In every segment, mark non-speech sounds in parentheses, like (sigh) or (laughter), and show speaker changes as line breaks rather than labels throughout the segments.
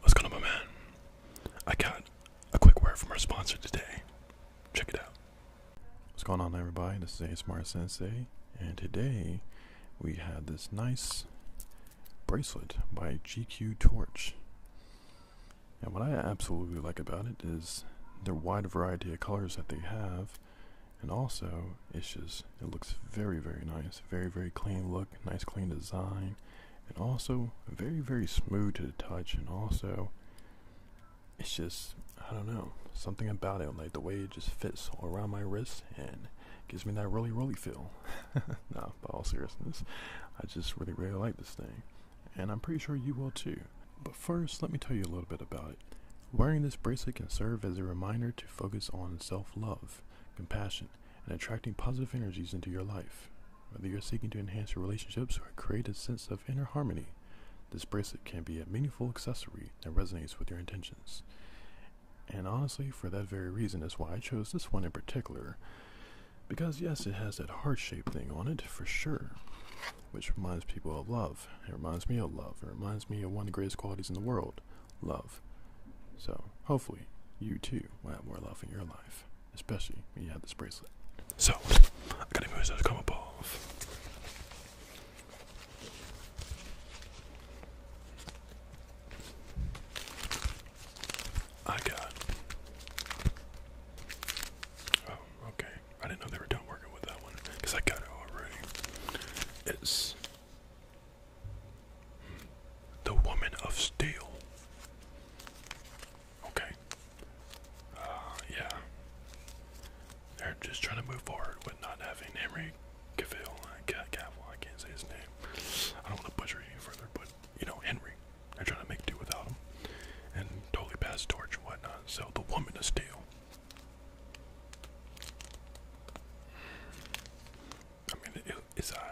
What's going on, my man? I got a quick word from our sponsor today. Check it out. What's going on, everybody? This is Smart Sensei, and today we had this nice bracelet by GQ Torch. And what I absolutely like about it is the wide variety of colors that they have, and also it's just it looks very very nice very very clean look nice clean design and also very very smooth to the touch and also it's just i don't know something about it like the way it just fits all around my wrist and gives me that really really feel (laughs) no but all seriousness i just really really like this thing and i'm pretty sure you will too but first let me tell you a little bit about it Wearing this bracelet can serve as a reminder to focus on self love compassion, and attracting positive energies into your life. Whether you're seeking to enhance your relationships or create a sense of inner harmony, this bracelet can be a meaningful accessory that resonates with your intentions. And honestly, for that very reason is why I chose this one in particular. Because, yes, it has that heart shaped thing on it, for sure, which reminds people of love. It reminds me of love. It reminds me of one of the greatest qualities in the world love. So hopefully you too will have more love in your life, especially when you have this bracelet. So I gotta move so to come above. I got. Oh, okay. I didn't know they were done working with that one because I got it already. It's the Woman of Steel. Okay. Uh, yeah. They're just trying to move forward with not having Henry Cavill, uh, I can't say his name. I don't want to butcher it any further, but you know, Henry. They're trying to make do without him. And totally pass torch and whatnot. So the woman of steel. I mean, it, it's alright.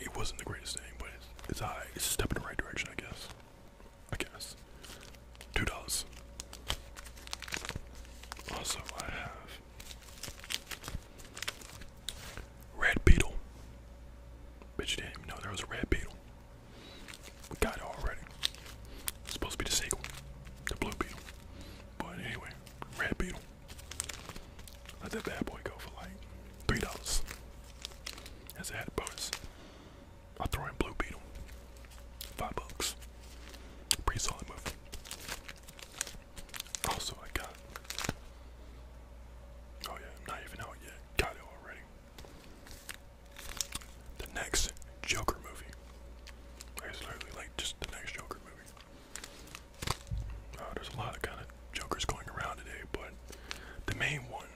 It, wasn't the greatest thing, but it's, it's It's a step in the right direction, I guess. I guess. Two dollars. Also, I have Red Beetle. Bitch, you didn't even know there was a Red Beetle. We got it already. supposed to be the sequel, the Blue Beetle. But anyway, Red Beetle. Let that bad boy go for like three dollars. As a head bonus. I'll throw in Blue Beetle. Five bucks. Pretty solid move. Also, I got. Oh yeah, not even out yet. Got it already. The next Joker movie. It's literally like just the next Joker uh, there's a lot of kind of Jokers going around today, but the main one,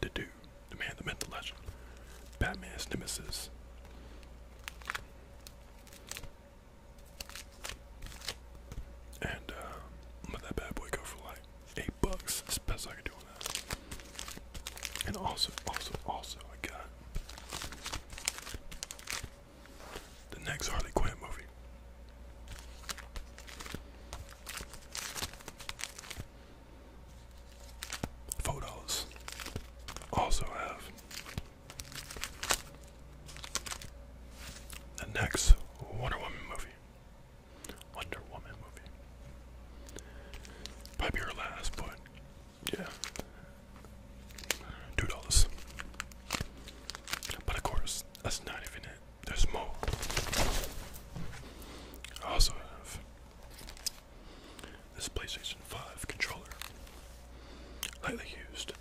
the dude, the man, the myth, the legend, Batman's nemesis. And uh, let that bad boy go for like eight bucks. It's the best I could do on that. And also, also, also, I got the next Harley Quinn movie. Photos also have the next Wonder Woman movie. Wonder Woman movie. Might be last, but yeah. Two dollars. But of course, that's not even it. There's more. I also have this PlayStation 5 controller. Lightly used.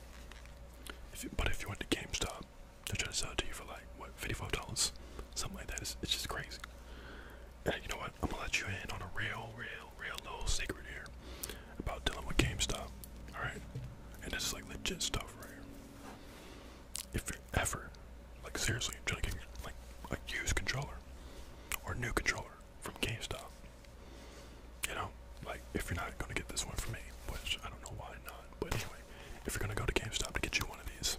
but if you went to GameStop, they're trying to sell it to you for like what, fifty-five dollars, something like that. It's, just crazy. you know I'm gonna let you in on a real, real, real little secret here about dealing with GameStop. Alright? And this is like legit stuff right here. If you're ever, like seriously, trying to get like a controller or new controller from GameStop, you know, like if you're not gonna get this one from me, which I don't know why not, but anyway, if you're gonna go to GameStop to get you one of these,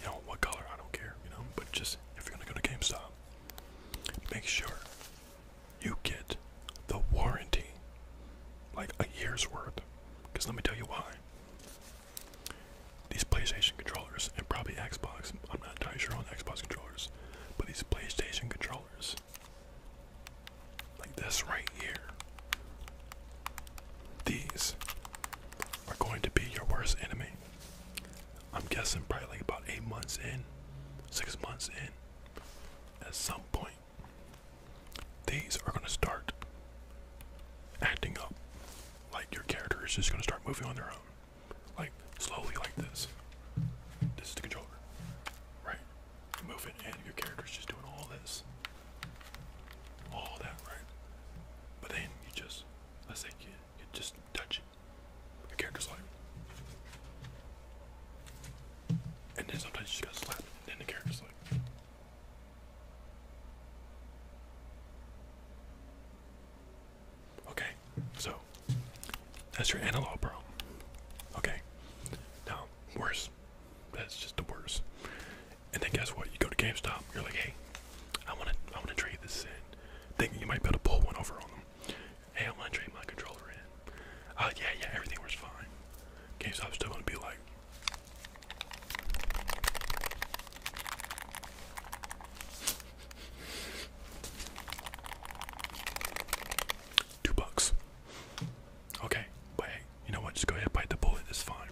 you know, what color, I don't care, you know, but just if you're gonna go to GameStop, make sure you get the warranty. Like a year's worth. Because let me tell you why. These PlayStation controllers, and probably Xbox, I'm not entirely sure on Xbox controllers, but these PlayStation controllers, like this right here, these are going to be your worst enemy. I'm guessing probably about eight months in, six months in, at some point, these are gonna start acting up. Like your character is just gonna start moving on their own. Like slowly like this. This is the controller. Right? move it and your character is just doing all this. All that, right? But then you just let's say you just touch it. The character's like, And then sometimes she just gotta and then the character's like. Okay, so that's your analog problem. Okay, now worse. That's just the worst. And then guess what? You go to GameStop. You're like, hey, I wanna, I wanna trade this in. Thinking you might be able to pull one over on them. Hey, I'm gonna trade my controller in. Uh, yeah, yeah, everything works fine. GameStop's still gonna be like. Two bucks. Okay, wait. you know what? Just go ahead bite the bullet, it's fine.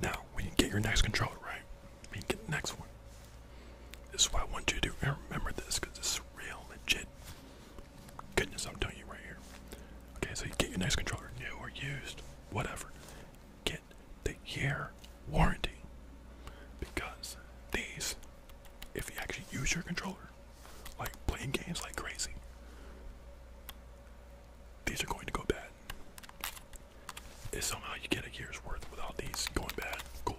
Now, when you get your next controller, right? and get the next one. This is why I want you to remember this because this is real legit. Goodness, I'm telling you right here. Okay, so you get your next controller, new or used, whatever. Get the year warranty because these, if you actually use your controller, like playing games like crazy, these are going to go bad is somehow you get a year's worth without these going bad. Cool.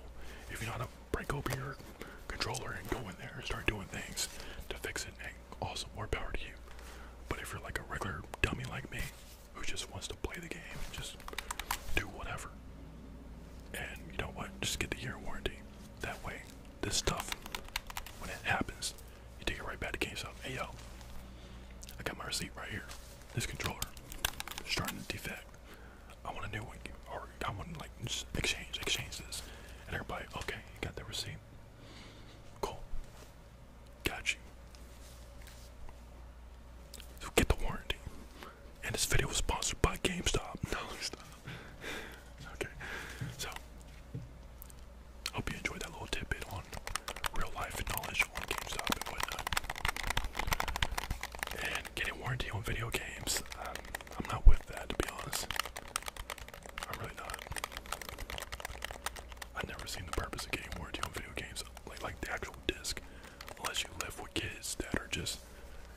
If you know how to break open your controller and go in there and start doing things to fix it, and also more power to you. But if you're like a regular dummy like me, who just wants to play the game and just do whatever, and you know what, just get the year warranty. That way, this stuff, when it happens, you take it right back to GameStop. Hey yo, I got my receipt right here. This controller starting to defect. I want a new one, or I want like exchange, exchanges, and everybody, okay, you got the receipt, cool, got you. So get the warranty. And this video was sponsored by GameStop. (laughs) No, Okay, so hope you enjoyed that little tidbit on real life knowledge on GameStop and whatnot getting warranty on video games. Um, I'm not with that to be honest. I'm really not. I've never seen the purpose of getting warranty on video games, like the actual disc, unless you live with kids that are just,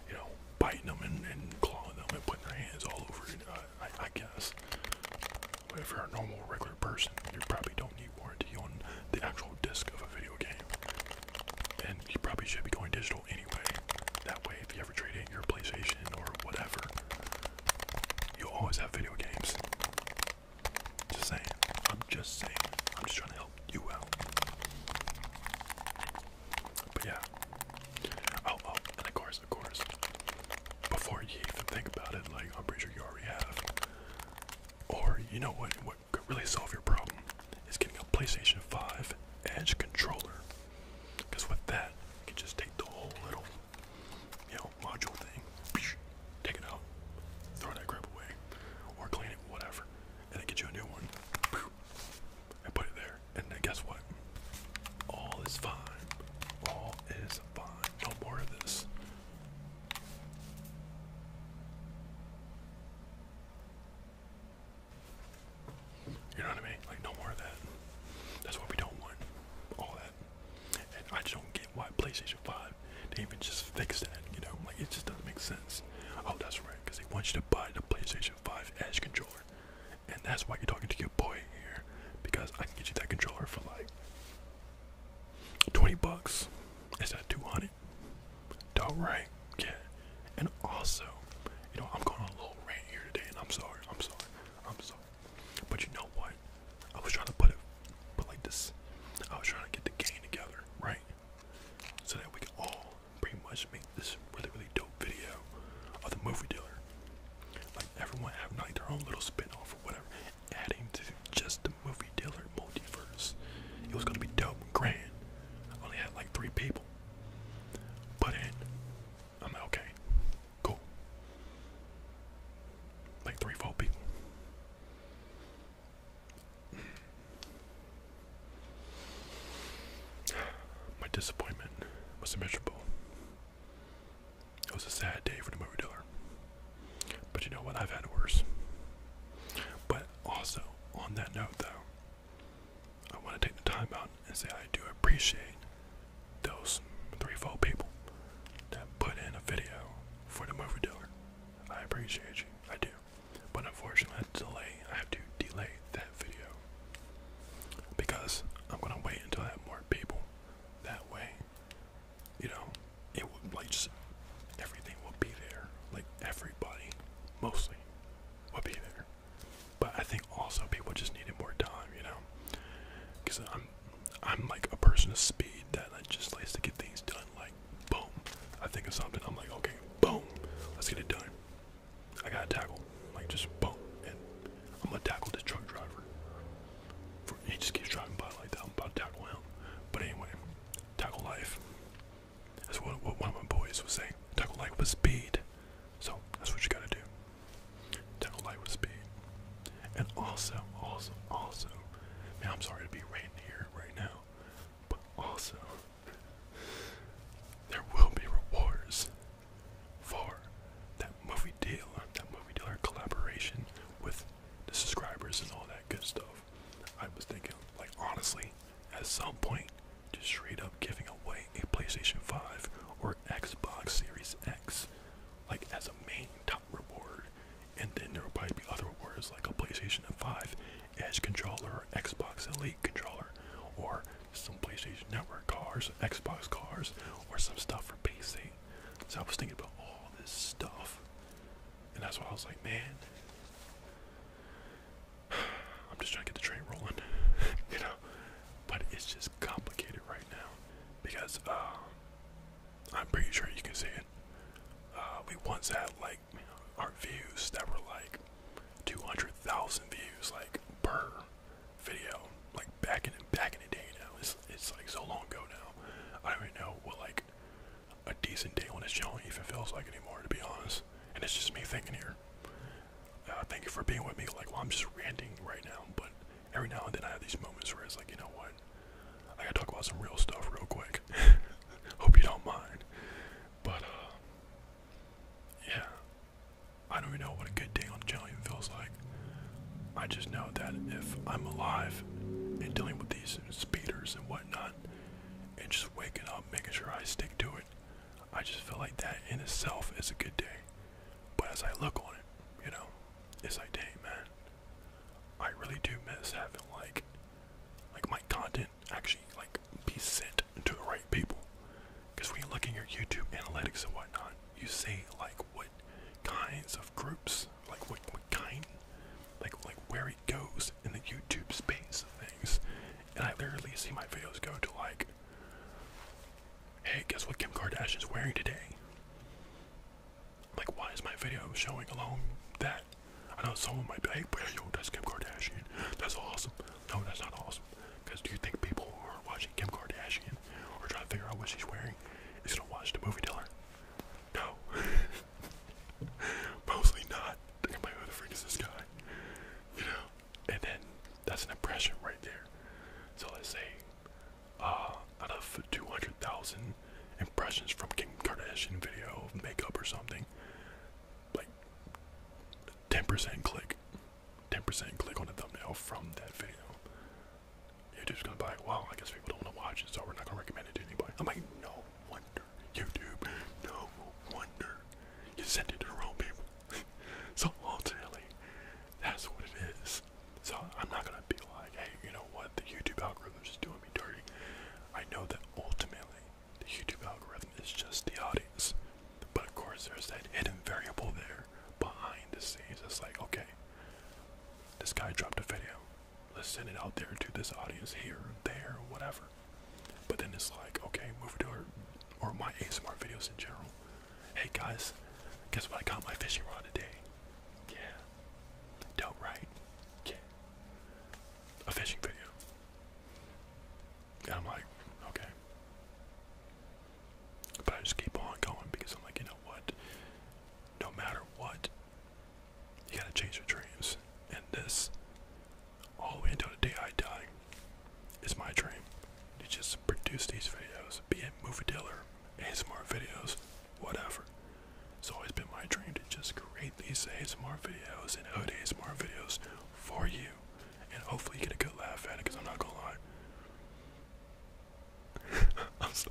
you know, biting them and, clawing them and putting their hands all over it. Uh, I, guess. if you're a normal, regular person, you probably don't need warranty on the actual disc of a video game. And you probably should be going digital anyway. That way, if you ever trade in your PlayStation or whatever, you'll always have video games. Just saying. I'm just saying. I'm just trying to help you out. But yeah. Oh, oh, and of course, of course. Before you even think about it, like, I'm pretty sure you already have. Or, you know What what could really solve your problem is getting a PlayStation 5 Edge controller. Because with that, you just take the whole little, you know, module thing, take it out, throw that crap away, or clean it, whatever, and get you a new one, and put it there. And guess what? All is fine. All is fine. No more of this. You know what I mean? Like no more of that. That's what we don't want. All that. And I just don't get why PlayStation 5 they even just fix that, you know? Like it just doesn't make sense. Oh, that's right, because they want you to buy the PlayStation 5 Edge controller. And that's why you're talking to your boy here. Because I can get you that controller for like 20 bucks. Instead of 200. All right, yeah. And also, you know, I'm going on a little rant here today, and I'm sorry, I'm sorry, I'm sorry. But you know what? I was trying to put it, but like this, I was trying to get the gang together, right? So that we can all pretty much make this really, really dope video of the movie dealer. Like everyone having like their own little spin-off or whatever, adding to just the movie movie dealer multiverse. It was gonna be dope grand. I only had like three people. But then I'm like, okay, cool. Like three, four people. (sighs) My disappointment was miserable. It was a sad day for the movie dealer. But you know what? I've had worse. But also, on that note though, I want to take the time out and say I do appreciate those three, four people that put in a video for the movie dealer. I appreciate you, I do. But unfortunately, I delay. I have to delay that video because I'm gonna wait until I have more people. That way, you know, it would like just everything will be there. Like everybody mostly would be there. But I think also people just needed more time, you know, because I'm I'm like a person of speed that I just likes to get things done. Like boom, I think of something, I'm like okay, boom, let's get it done. I gotta tackle, like just boom, and I'm gonna tackle this truck driver. he just keeps driving by like that. I'm about to tackle him. But anyway, tackle life. That's what, one of my boys was saying. Tackle light with speed. So that's what you gotta do. Tackle light with speed. And also, also, also, man, I'm sorry to be right here right now, but also, there will be rewards for that movie deal, that movie dealer collaboration with the subscribers and all that good stuff. I was thinking, like honestly, at some point just straight up giving away a PlayStation 5 or Xbox Series X like as a main top reward and then there will probably be other rewards like a PlayStation 5 Edge controller or Xbox Elite controller or some PlayStation Network cars, Xbox cars, or some stuff for PC. So I was thinking about all this stuff. And that's why I was like, man, (sighs) I'm just trying to get the train rolling, (laughs) you know. But it's just complicated right now because um, I'm pretty sure you can see it. Uh, we once had like our views that were like 200,000 views like per video, like back in back in the day. Now it's it's like so long ago now. I don't even know what like a decent day on this channel even feels like anymore, to be honest. And it's just me thinking here. Uh, thank you for being with me. Like, well, I'm just ranting right now, but every now and then I have these moments where it's like, you know what? I gotta talk about some real stuff real quick. (laughs) Hope you don't mind. But, uh, yeah. I don't even know what a good day on the channel even feels like. I just know that if I'm alive and dealing with these speeders and whatnot, and just waking up, making sure I stick to it. I just feel like that in itself is a good day. But as I look on it, you know, it's like, dang, man, I really do miss having like, like my content actually like be sent to the right people. Because when you look in your YouTube analytics and whatnot, you see like what kinds of groups, like what, what kind like like where it goes in the YouTube space of things. And I literally see my videos go to like, hey, guess what Kim Kardashian is wearing today? Like, why is my video showing along that? I know someone might be like, hey, yo, that's Kim Kardashian. That's awesome. No, that's not awesome. Because do you think people are watching Kim Kardashian or trying to figure out what she's wearing is going to watch the movie Diller? No. (laughs) (laughs) Mostly not. I'm like, who the freak is this guy? You know? And then that's an impression right there. So let's say, uh, out of 200,000 impressions from Kim Kardashian video of makeup or something, like 10% click, 10% click on the thumbnail from that video. You're just gonna buy it. Well, I guess people don't wanna watch it, so we're not gonna recommend it to anybody. I'm like, no, wonder, YouTube, no wonder you sent it to the wrong people. (laughs) so ultimately, that's what it is. So I'm not gonna be like, hey, you know what, the YouTube algorithm is doing me dirty. I know that ultimately the YouTube algorithm is just the audience. But of course there's that hidden variable there behind the scenes. It's like, okay, this guy dropped a video. Let's send it out there to this audience here, there, whatever. But then it's like, okay, move to her or my ASMR videos in general. Hey guys, guess what? I got my fishing rod today. Yeah. Dope, right? Yeah. A fishing video. And I'm like, okay. But I just keep on going because I'm like, you know what? No matter what, you gotta change your dreams. And this, all the way until the day I die, is my dream to just produce these videos, be a movie dealer, ASMR videos, whatever. It's always been my dream to just create these ASMR videos and hood ASMR videos for you. And hopefully you get a good laugh at it because I'm not gonna lie. (laughs)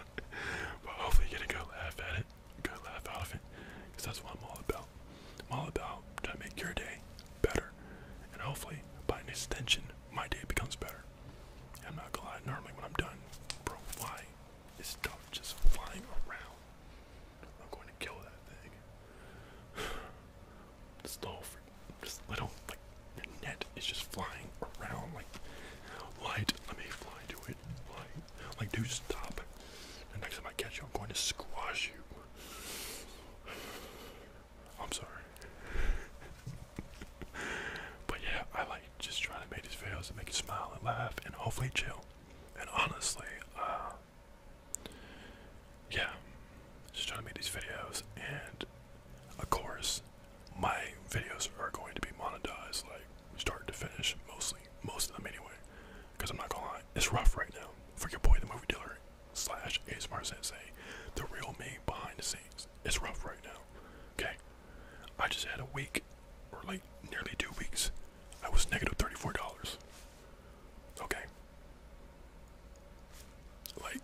But hopefully get a good laugh at it. Gotta laugh out of it, because that's what I'm all about. I'm all about trying to make your day better, and hopefully, by extension, my day becomes better. I'm not gonna lie, normally when I'm done, bro, why is stuff just flying around? I'm going to kill that thing. (sighs) this little, like, the net is just flying around, like, light, let me fly to it, like, dude, stop. The next time I catch you, I'm going to squash you. I'm sorry. (laughs) but yeah, I like just trying to make these videos and make you smile and laugh and hopefully chill. And honestly, uh, yeah, just trying to make these videos. And of course, my videos are going to be monetized, like start to finish, mostly, most of them anyway. Because I'm not gonna lie, it's rough right now for your boy, the movie dealer slash ASMR Sensei, the real me behind the scenes. It's rough right now. Okay, I just had a week, or like nearly two weeks. I was negative thirty-four dollars. Okay, like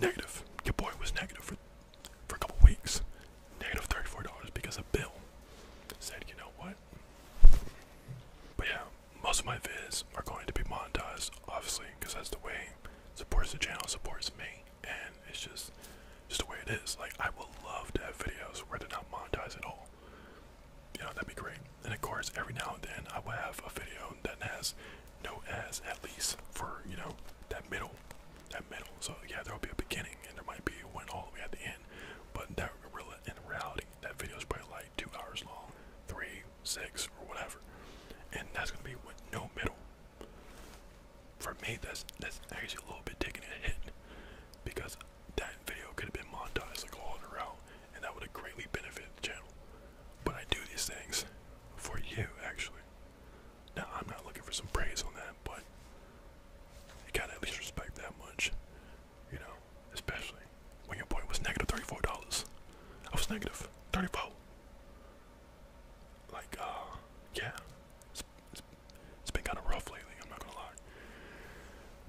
negative. Your boy was negative for for a couple weeks. Negative thirty-four dollars because a bill said, you know what? But yeah, most of my vids are going to be monetized, obviously, because that's the way supports the channel, supports me, and it's just just the way it is. Like I would love to have videos where they're not monetized at all. You know, that'd be great. And of course, every now and then I will have a video that has no ads at least for, you know, that middle. That middle. So yeah, there'll be a beginning and there might be one all the way at the end. But that really in reality, that video is probably like two hours long, three, six, or whatever. And that's gonna be no middle. For me, that's that's actually a little bit taking a hit because that video could have been monetized like all in a row, and that would have greatly benefited the channel. But I do these things for you, actually. Now I'm not looking for some praise on that, but you gotta at least respect that much, you know especially when your boy was negative $34. I was negative 34. Like, uh, yeah, it's, it's been kind of rough lately, I'm not gonna lie.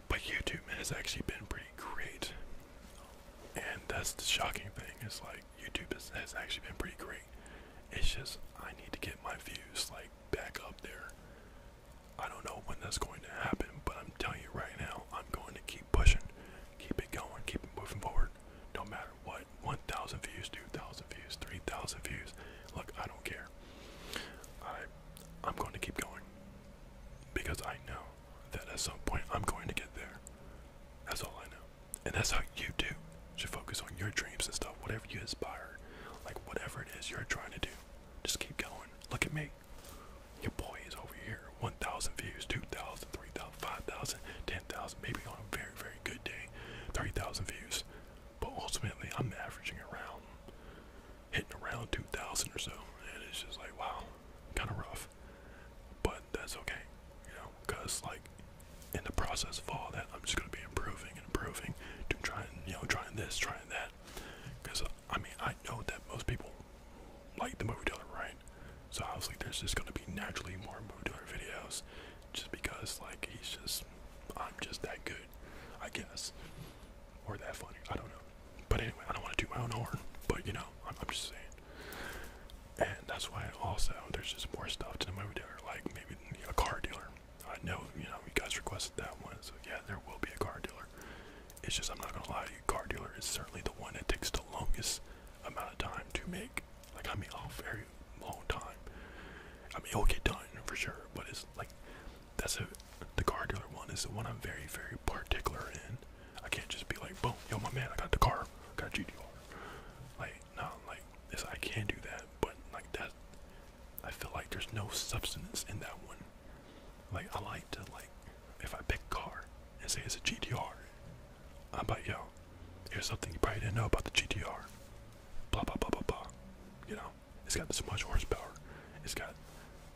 But YouTube, man, has actually been pretty great. And that's the shocking thing, is like, YouTube has actually been pretty great. It's just, I need to get my views, like, back up there. I don't know when that's going to happen, but I'm telling you right now, I'm going to keep pushing, keep it going, keep it moving forward, no matter what. 1,000 views, 2,000 views, 3,000 views. Look, I don't care. I, I'm going to keep going because I know that at some point I'm going to get there. That's all I know. And that's how you do should focus on your dreams and stuff, whatever you aspire, like whatever it is you're trying to do. Just keep going. Look at me. Your boy is over here. 1,000 views, 2,000, 3,000, 5,000, 10,000, maybe on a very, very good day, 3,000 views. But ultimately, I'm averaging around, hitting around 2,000 or so. And it's just like, wow, kind of rough. But that's okay, you know, because like in the process of all that, I'm just going to be improving and improving, to trying, you know, trying this, trying that. Because I mean, I know that most people like the movie dealer, right? So obviously, there's just gonna be naturally more movie dealer videos, just because like he's just, I'm just that good, I guess, or that funny. I don't know. But anyway, I don't want to do my own horn, but you know, I'm just saying. And that's why also there's just more stuff to the movie dealer, like maybe a car dealer. I know you know you guys requested that one, so yeah, there will be a car dealer. It's just I'm not gonna lie to you, car dealer is certainly the one that takes the longest amount of time to make. Like I mean a very long time. I mean it'll get done for sure, but it's like that's a the car dealer one is the one I'm very, very particular in. I can't just be like, boom, yo my man, I got the car, got a GDR. Like, no, like this I can do that, but like that I feel like there's no substance in that one. Like I like to like if I pick car and say it's a GTR, I'm like, yo, here's something you probably didn't know about the GTR. Blah blah blah blah blah. You know, it's got this much horsepower. It's got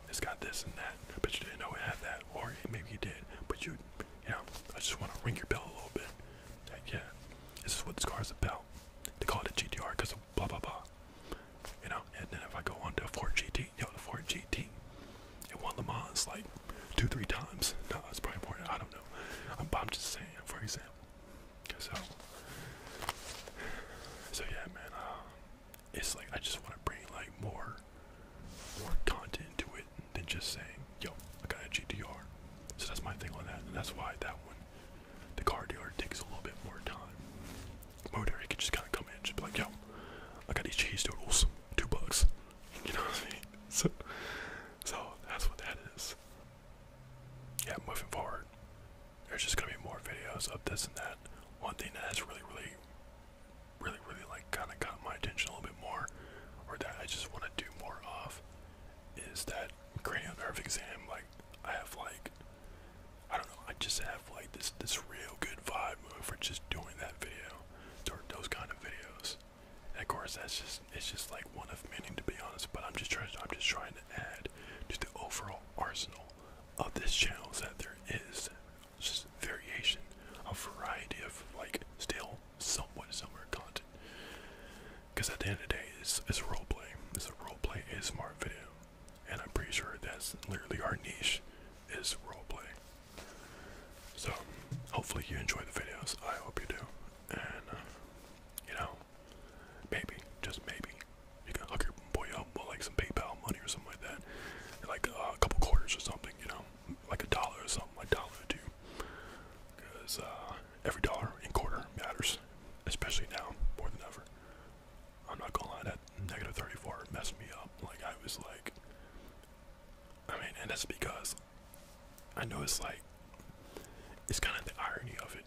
it's got this and that, but you didn't know it had that, or maybe you did, but you, you know, I just want to ring your bell a little bit. yeah, this is what this car is about. They call it a GTR because blah blah blah. You know, and then if I go on to a Ford GT, yo, the Ford GT, it won Le Mans like two, three times. No, it's probably more. I don't know. I'm, just saying, for example. So, so yeah, man. Um, it's like I just want to bring like more, more content to it than just saying, yo, I got a GTR. So that's my thing on that, and that's why that one, the car dealer takes a little bit more time. Motor, could just kind of come in just be like, yo, I got these cheese doodles, two bucks. (laughs) You know what I mean? So, so that's what that is. Yeah, moving forward, there's just gonna be more videos of this and that. One thing that has really, really, really, really like kind of caught my attention a little bit more, or that I just want to do more of, is that cranial nerve exam. Like, I have like I don't know. I just have like this this real good vibe for just doing that video, or those kind of videos. And of course, that's just it's just like one of many to be honest. But I'm just trying I'm just trying to add to the overall arsenal of this channel is that there is just variation, a variety of like still somewhat similar content. Because at the end of the day, it's it's role play. It's a role play ASMR video and I'm pretty sure that's literally our niche is roleplay. So hopefully you enjoy the videos. I hope you do, and uh, you know, maybe just maybe you can hook your boy up with like some PayPal money or something like that, like uh, a couple quarters or something. You know, like a dollar or something, like dollar or two, because uh, every dollar and quarter matters, especially now more than ever. I'm not gonna lie, that negative 34 messed me up. Like, I was like, I mean, and that's because I know it's like, it's kind of the irony of it.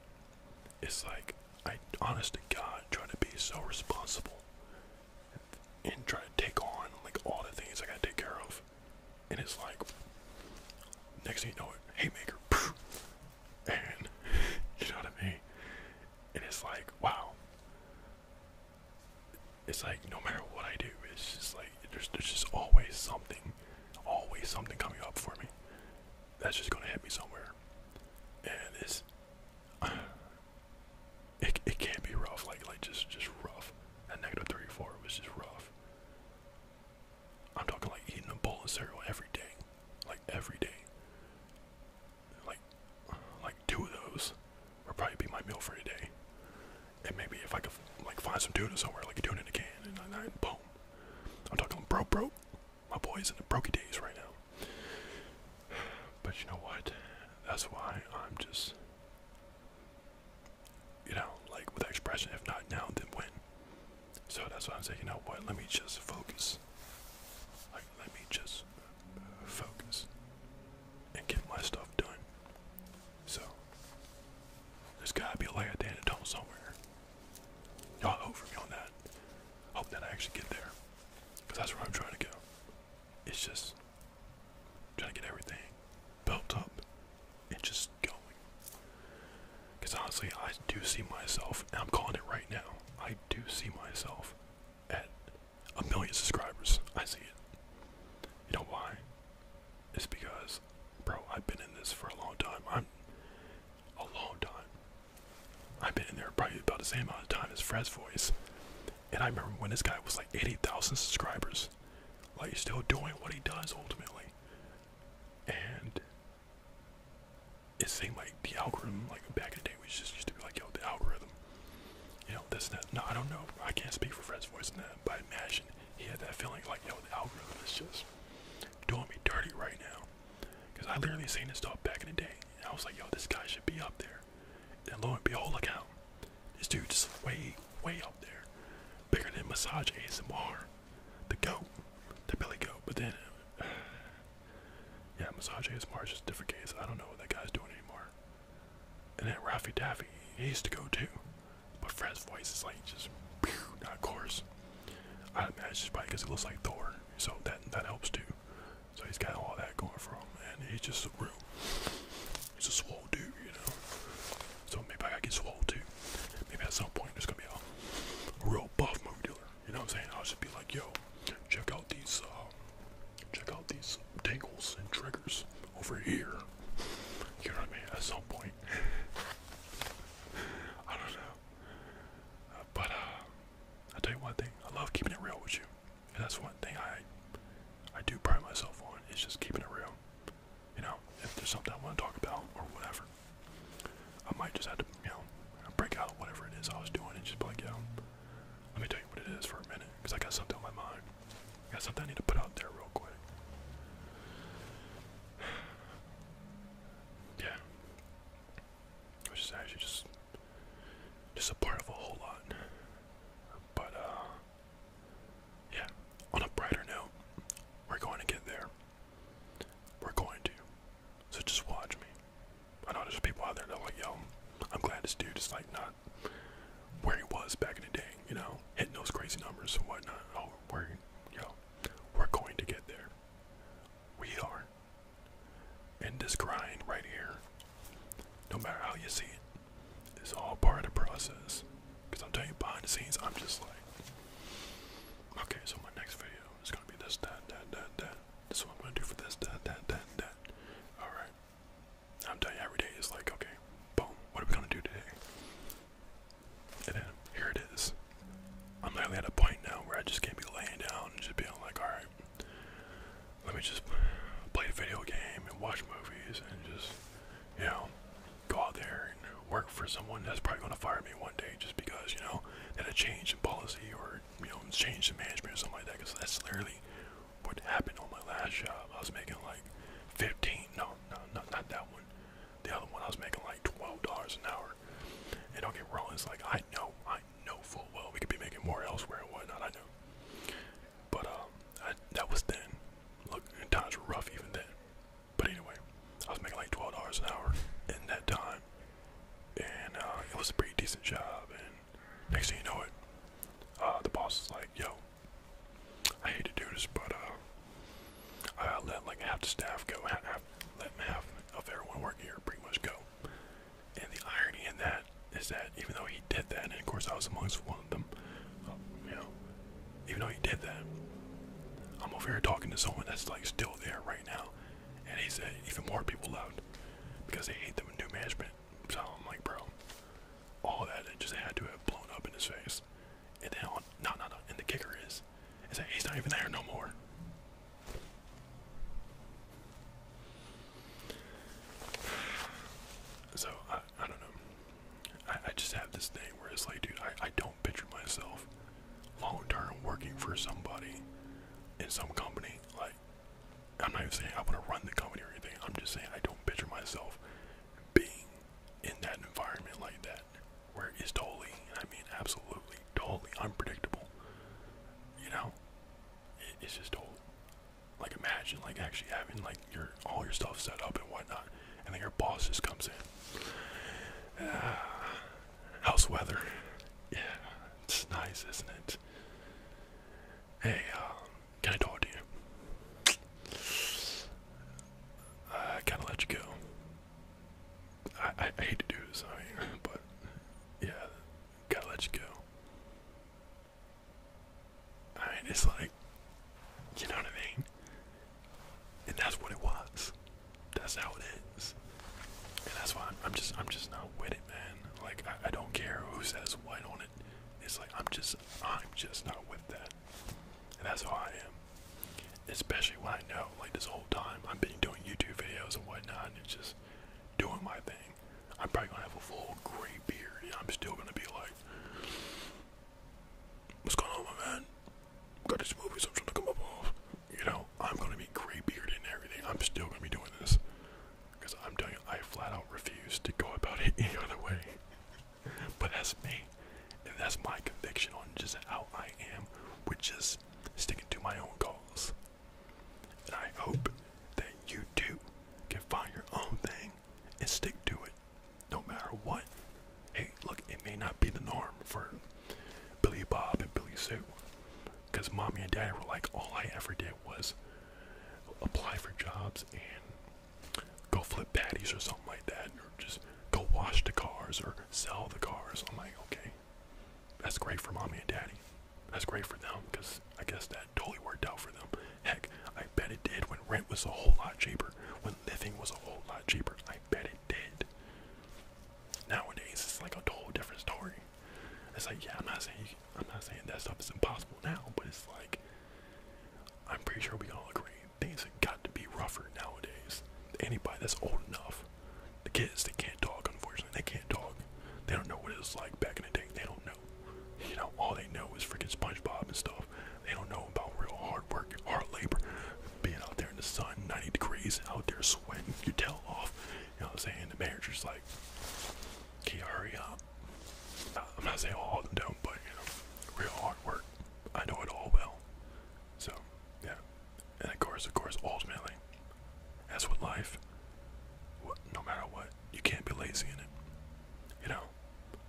It's like, I, honest to God, try to be so responsible and try to take on, like, all the things I gotta take care of. And it's like, next thing you know, it, Haymaker, and (laughs) you know what I mean? and it's like wow it's like no matter what I do it's just like there's, there's just always something always something coming up for me that's just gonna hit me somewhere and it's (sighs) it, it can't be rough like like just just rough that negative 34 was just rough I'm talking like eating a bowl of cereal every day like every day like like two of those would probably be my meal for today. And maybe if I could like find some tuna somewhere, like a tuna in a can, and I, boom. I'm talking bro, bro. My boy's in the brokey days right now. But you know what? That's why I'm just, you know, like with that expression, if not now, then when. So that's why I'm saying, you know what? Let me just focus. let me just focus and get my stuff done. So, there's gotta be a lay of Dan and somewhere. Y'all hope for me on that. Hope that I actually get there. Because that's where I'm trying to go. It's just trying to get everything built up and just going. Because honestly, I do see myself, and I'm calling it right now, I do see myself at a million subscribers. I see it. You know why? It's because, bro, I've been in this for a long time. I'm a long time. I've been in there probably about the same amount of time as Fred's voice. And I remember when this guy was like 80,000 subscribers. Like, he's still doing what he does ultimately. And is saying like the algorithm like back in the day we just used to be like yo the algorithm you know this and that no i don't know i can't speak for fred's voice in that but i imagine he had that feeling like yo the algorithm is just doing me dirty right now because i literally seen this stuff back in the day i was like yo this guy should be up there and lo and behold look out this dude just way way up there bigger than massage asmr the goat the belly goat but then yeah, Massage is is just different case. I don't know what that guy's doing anymore. And then Raffy Daffy, he used to go too. But Fred's voice is like just not coarse. I imagine it's just probably because he looks like Thor. So that that helps too. So he's got all that going for him. man. he's just a real, he's a swole dude, you know? So maybe I gotta get swole too. Maybe at some point there's gonna be a, a real buff movie dealer. You know what I'm saying? I'll just be like, yo, check out these, uh, check out these tangles and triggers over here. You know what I mean? At some point. (laughs) I don't know. Uh, but, uh, i tell you one thing. I love keeping it real with you. And that's one thing I, I do pride myself on, is just keeping it real. You know, if there's something I want to talk about or whatever, I might just have to, you know, break out whatever it is I was doing and just be like, yo, let me tell you what it is for a minute, because I got something on my mind. got something I need to put out there real quick. (sighs) yeah. Which is actually just just a part of a whole lot. But uh, yeah, on a brighter note, we're going to get there. We're going to. So just watch me. I know there's people out there that are like, yo, I'm glad this dude is like not where he was back in the day, you know, hitting those crazy numbers and whatnot. Oh, we're, yo, we're going to get there. We are. And this grind right here, no matter how you see it, it, is all part of the process. Because I'm telling you, behind the scenes, I'm just like, okay, so my next video is going to be this, that, that, that, that. This is what I'm gonna do for this, that, that, that, that. Alright. I'm telling you, every day is like, okay, boom, what are we gonna do today? And here it is. I'm literally at a point now where I just can't be laying down and just being like, alright, let me just play a video game and watch movies and just, you know, go out there and work for someone that's probably gonna fire me one day just because, you know, that a change in policy or you know change the management or something like that because that's literally what happened on my last job. I was making like 15 no no not, not that one the other one I was making like $12 an hour and don't get wrong it's like I know I know full well we could be making more elsewhere and whatnot I know but um that was then look times were rough even then but anyway I was making like 12 an hour in that time and uh, it was a pretty decent job next thing you know it, uh, the boss is like, yo, I hate to do this, but uh, I let like half the staff go, half, let half of everyone working here pretty much go. And the irony in that is that even though he did that, and of course I was amongst one of them, you know, even though he did that, I'm over here talking to someone that's like still there right now, and he said even more people left because they hate the new management. So I'm like, bro, all that it just had to have blown up in his face. And then on, no, no, no. And the kicker is, is that he's not even there no more. So I, I don't know. I, I just have this thing where it's like, dude, I, I don't picture myself long term working for somebody in some company. Like I'm not even saying I want to run the company or anything. I'm just saying I don't picture myself being in that environment like that, where it's totally, I mean absolutely, totally unpredictable. You know, it's just all Like imagine like actually having like your all your stuff set up and whatnot, and then your boss just comes in. (sighs) house weather, yeah, it's nice, isn't it? Hey, um, can I talk to you? I kind of let you go. I, I hate to do this, I mean, (laughs) but yeah, gotta let you go. I mean, it's like, you know what I mean? And that's what it was. That's how it and that's why I'm, just I'm just not with it, man. Like I, don't care who says what on it. It's like I'm just I'm just not with that. And that's how I am. Especially when I know like this whole time I've been doing YouTube videos and whatnot and it's just doing my thing. I'm probably gonna have a full gray beard and I'm still gonna be like What's going on my man? Got these movies I'm trying to come up off you know, I'm going to be gray and everything. I'm still going to be doing this. Because I'm telling you, I flat out refuse to go about it (laughs) any other way. but that's me. And that's my conviction on just how I am, which is sticking to my own cause. And I hope that you too can find your own thing and stick to it no matter what. Hey, look, it may not be the norm for Billy Bob and Billy Sue, because mommy and daddy were like, all I ever did was apply for jobs and go flip patties or something like that, or just go wash the cars or sell the cars. I'm like, okay, that's great for mommy and daddy. That's great for them because I guess that totally worked out for them. Heck, I bet it did when rent was a whole lot cheaper, when living was a whole lot cheaper. I bet it did. Nowadays, it's like a whole different story. It's like, yeah, I'm not saying I'm not saying that stuff is impossible now, but it's like I'm pretty sure we all agree things have got to be rougher nowadays. Anybody that's old enough, the kids they can't talk. Unfortunately, they can't talk. They don't know what it was like back in the day. They don't know. You know, all they know is freaking SpongeBob and stuff. They don't know about real hard work, hard labor, being out there in the sun, 90 degrees, out there sweating your tail off, you know what I'm saying? The manager's like, can hurry up? Uh, I'm not saying all of them don't, but you know, real hard work. I know it all well. So, yeah. And of course, of course, ultimately, as with life, no matter what, you can't be lazy in it. You know?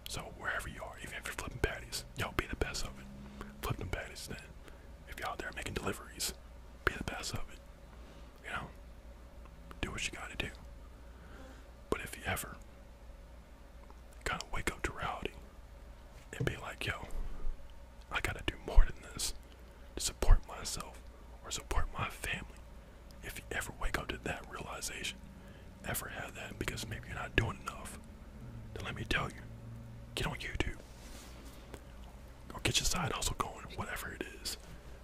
So, wherever you are, even if you're flipping patties, y'all be the best of it. Flip them patties then. If you all out there making deliveries, be the best of it you know, do what you gotta do. But if you ever kind of wake up to reality and be like, yo, I gotta do more than this to support myself or support my family. If you ever wake up to that realization, ever have that because maybe you're not doing enough, then let me tell you, get on YouTube or get your side also going, whatever it is.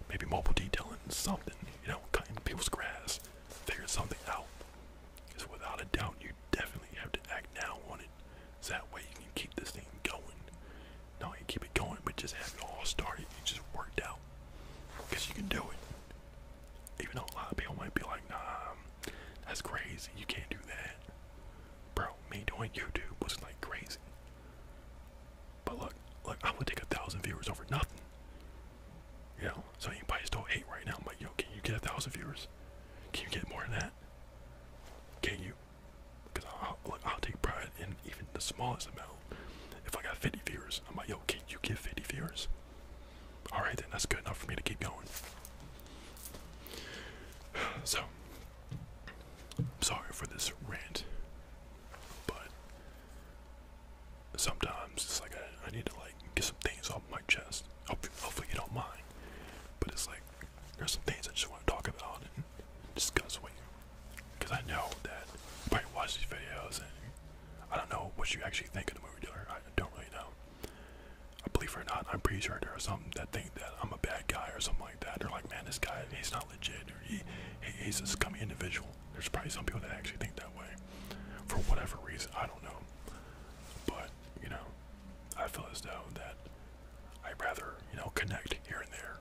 Maybe mobile detailing, something, you know, cutting people's grass, Figure something out. Because without a doubt, you definitely have to act now on it. So that way you can keep this thing going. Not only keep it going, but just have it all started and just worked out. Because you can do it. Even though a lot of people might be like, nah, that's crazy, you can't do that. Bro, me doing YouTube was like crazy. But look, look, I would take a thousand viewers over nothing. You know, so you guys don't hate right now. But yo, can you get a thousand viewers? Can you get more than that? Can you? Because I'll, look, I'll take pride in even the smallest amount. If I got 50 viewers, I'm like, yo, can you get 50 viewers? All right, then that's good enough for me to keep going. (sighs) So, I'm sorry for this rant, but sometimes it's like I, need to like get some things off my chest. Hopefully, hopefully you don't mind, but it's like there's some things I just want to talk about and discuss with you, because I know that you probably watch these videos and I don't know what you actually think of the movie dealer. I don't really know. I believe it or not, I'm pretty sure there are some that think that I'm a bad guy or something like that. They're like, man, this guy, he's not not legit or he, he he's a scummy individual. There's probably some people that actually think that way for whatever reason. I don't know. But, you know, I feel as though that I'd rather, you know, connect here and there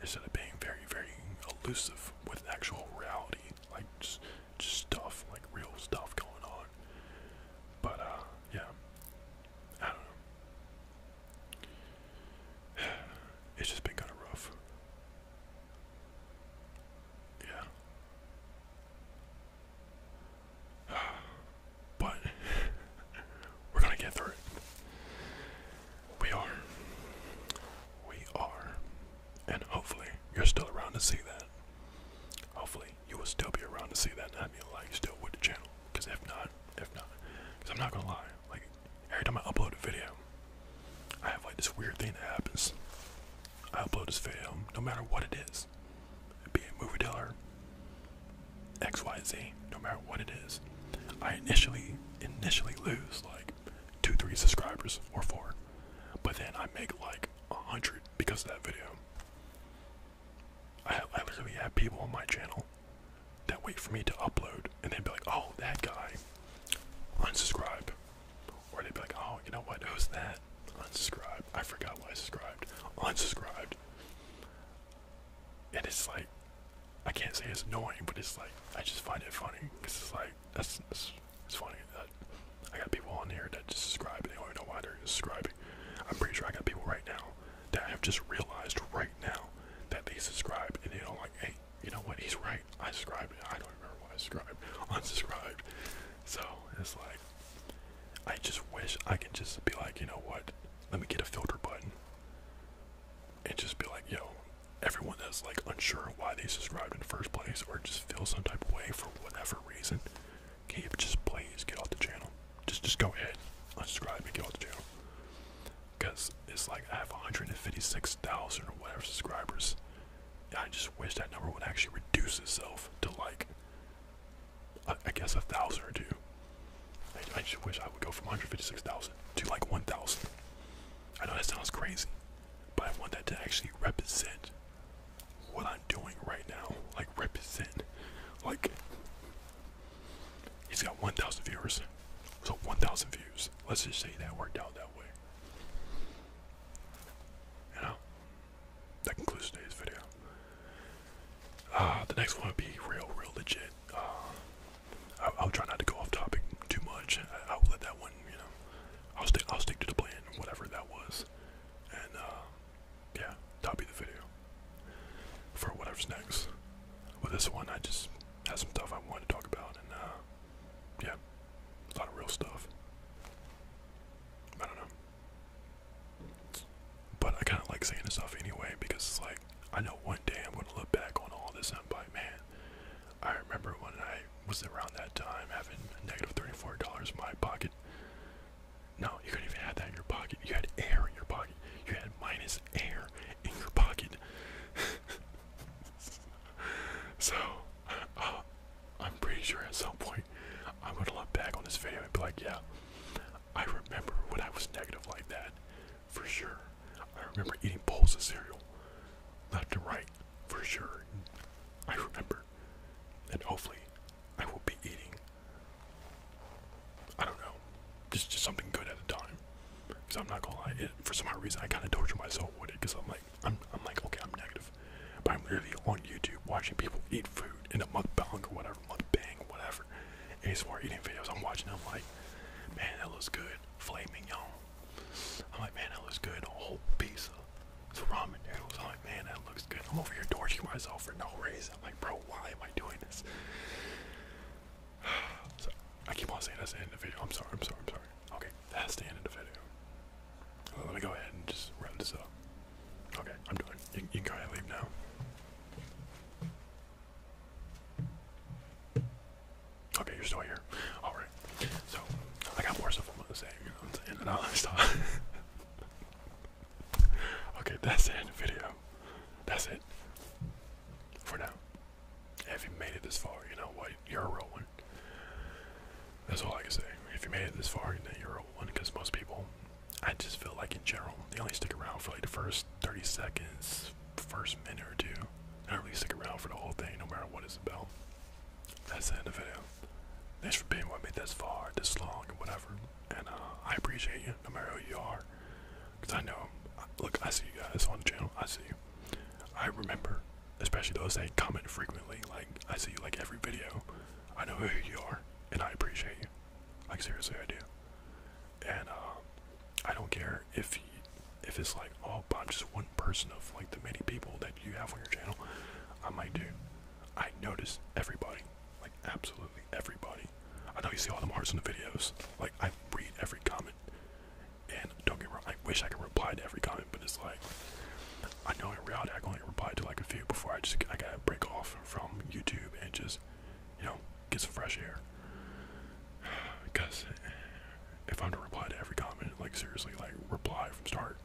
instead of being very, very elusive with actual reality. Like, just, just stuff, like real stuff going on. But, uh, yeah. I don't know it's just been kind of rough. Yeah. But we're going to get through it. We are. We are. And hopefully you're still around to see that. Hopefully you will still be around to see that. I mean, like, still with the channel. Because if not, if not, because I'm not going to lie, like every time I upload a video, I have like this weird thing that happens. I upload this video, no matter what it is, be a movie dealer, XYZ, no matter what it is. I initially initially lose like two, three subscribers or four. But then I make like a hundred because of that video. I, I literally have people on my channel that wait for me to upload and they'd be like, oh, that guy, unsubscribe. Or they'd be like, oh, you know what, who's that? Unsubscribe. I forgot why I subscribed. Unsubscribed. And it's like, I can't say it's annoying, but it's like, I just find it funny. Because it's like, that's, it's funny that I got people on here that just subscribe and they don't even know why they're subscribing. I'm pretty sure I got people right now that I have just realized right now that they subscribed and they don't like, hey, you know what? He's right. I subscribed. I don't remember why I subscribed. (laughs) Unsubscribed. So it's like, I just wish I could just be like, you know what? Let me get a filter button and just be like, yo, everyone that's like unsure why they subscribed in the first place or just feel some type of way for whatever reason, can you just please get off the channel? Just just go ahead, unsubscribe and get off the channel because it's like I have 156,000 or whatever subscribers. I just wish that number would actually reduce itself to like, I, guess a thousand or two. I just wish I would go from 156,000 to like 1,000. I know that sounds crazy, but I want that to actually represent what I'm doing right now. Like represent, like He's got 1,000 viewers. So 1,000 views. Let's just say that worked out that way. You know? That concludes today's video. Uh, the next one would be real, real legit. Uh, I'll, i try not to go off topic too much. I, will let that one, you know. I'll stick. I'll stick to the plan, whatever that was, and uh, yeah, that'll be the video for whatever's next. With this one, I just had some stuff I want to talk about, and uh, yeah, a lot of real stuff. I don't know, but I kind of like saying this stuff anyway because it's like I know one day I'm gonna look back on all this and I'm like, man, I remember when I was around that time having negative thirty-four dollars in my pocket. No, you couldn't even have that in your pocket. You had air in your pocket. You had minus air in your pocket. (laughs) so, uh, I'm pretty sure at some point I'm gonna look back on this video and be like, yeah, I remember when I was negative like that, for sure. I remember eating bowls of cereal, left to right, for sure. I remember, and hopefully, I will be eating I don't know. Just just something good at the time. Cause I'm not gonna lie, for some hard reason I kind of torture myself with it. Cause I'm like, I'm I'm like, okay, I'm negative, but I'm literally on YouTube watching people eat food in a mukbang or whatever, mukbang, whatever. ASMR eating videos I'm watching. them like, man, that looks good, filet mignon. I'm like, man, that looks good, a whole pizza, of ramen noodles. I'm like, man, that looks good. I'm over here torturing myself for no reason. I'm like, bro, why am I doing this? so, (sighs) I keep on saying that's the end of the video. I'm sorry, I'm sorry, I'm sorry. Okay, that's the end of the video. Let me go ahead and just wrap this up. Okay, I'm done. You, can go ahead and leave now. Okay, you're still here. Alright. So, I got more stuff I'm gonna say, you know what I'm saying? And I'll (laughs) stop. okay, that's the end of the video. That's it. For now. If you made it this far, you know what? You're a real one. That's all I can say. If you made it this far, then you're a real one. Because most people, I just feel like in general, they only stick around for like the first 30 seconds, first minute or two. They don't really stick around for the whole thing, no matter what it's about. That's the end of the video. Thanks for being with me this far, this long, whatever. And uh, I appreciate you no matter who you are. Because I know, look, I see you guys on the channel. I see you. I remember, especially those that comment frequently. Like, I see you like every video. I know who you are, and I appreciate you. Like, seriously, I do. And, uh, I don't care if you, if it's like, oh, but I'm just one person of like the many people that you have on your channel. I might do. I notice everybody, like absolutely everybody, I know you see all the hearts in the videos. Like I read every comment, and don't get me wrong. I wish I could reply to every comment, but it's like I know in reality I can only reply to like a few before I just I gotta break off from YouTube and just you know get some fresh air. Because (sighs) if I'm to reply to every comment, like seriously, like reply from start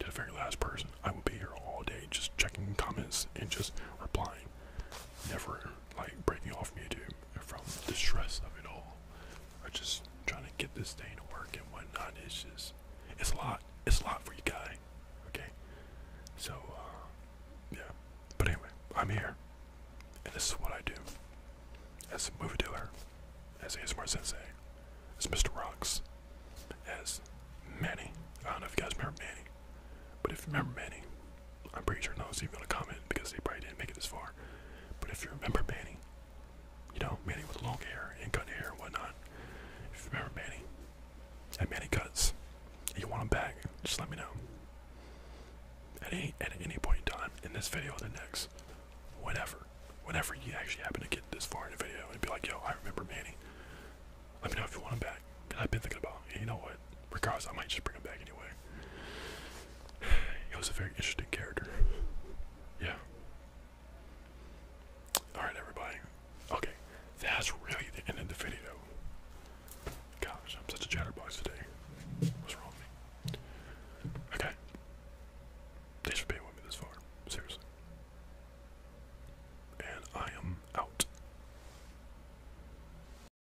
to the very last person, I would be here all day just checking comments and just replying never like breaking off YouTube from the stress of it all. I just trying to get this thing to work and whatnot. It's just it's a lot. It's a lot for you guy. Okay. So uh yeah. But anyway, I'm here. And this is what I do. As a movie dealer, as ASMR Sensei, as Mr. Rocks, as Manny. I don't know if you guys remember Manny. But if you remember Manny, I'm pretty sure no one's even gonna comment because they probably didn't make it this far. But if you remember Manny, you know, Manny with long hair and cut hair and whatnot. If you remember Manny, and Manny cuts, and you want him back, just let me know. At any, at any point in time, in this video or the next, whenever, whenever you actually happen to get this far in the video and be like, yo, I remember Manny, let me know if you want him back. i I've been thinking about, him. you know what? but regardless, I might just bring him back anyway. (sighs) He was a very interesting character. Yeah. Alright, everybody. Okay, that's really the end of the video. Gosh, I'm such a chatterbox today. What's wrong with me? Okay. Thanks for being with me this far. Seriously. And I am out.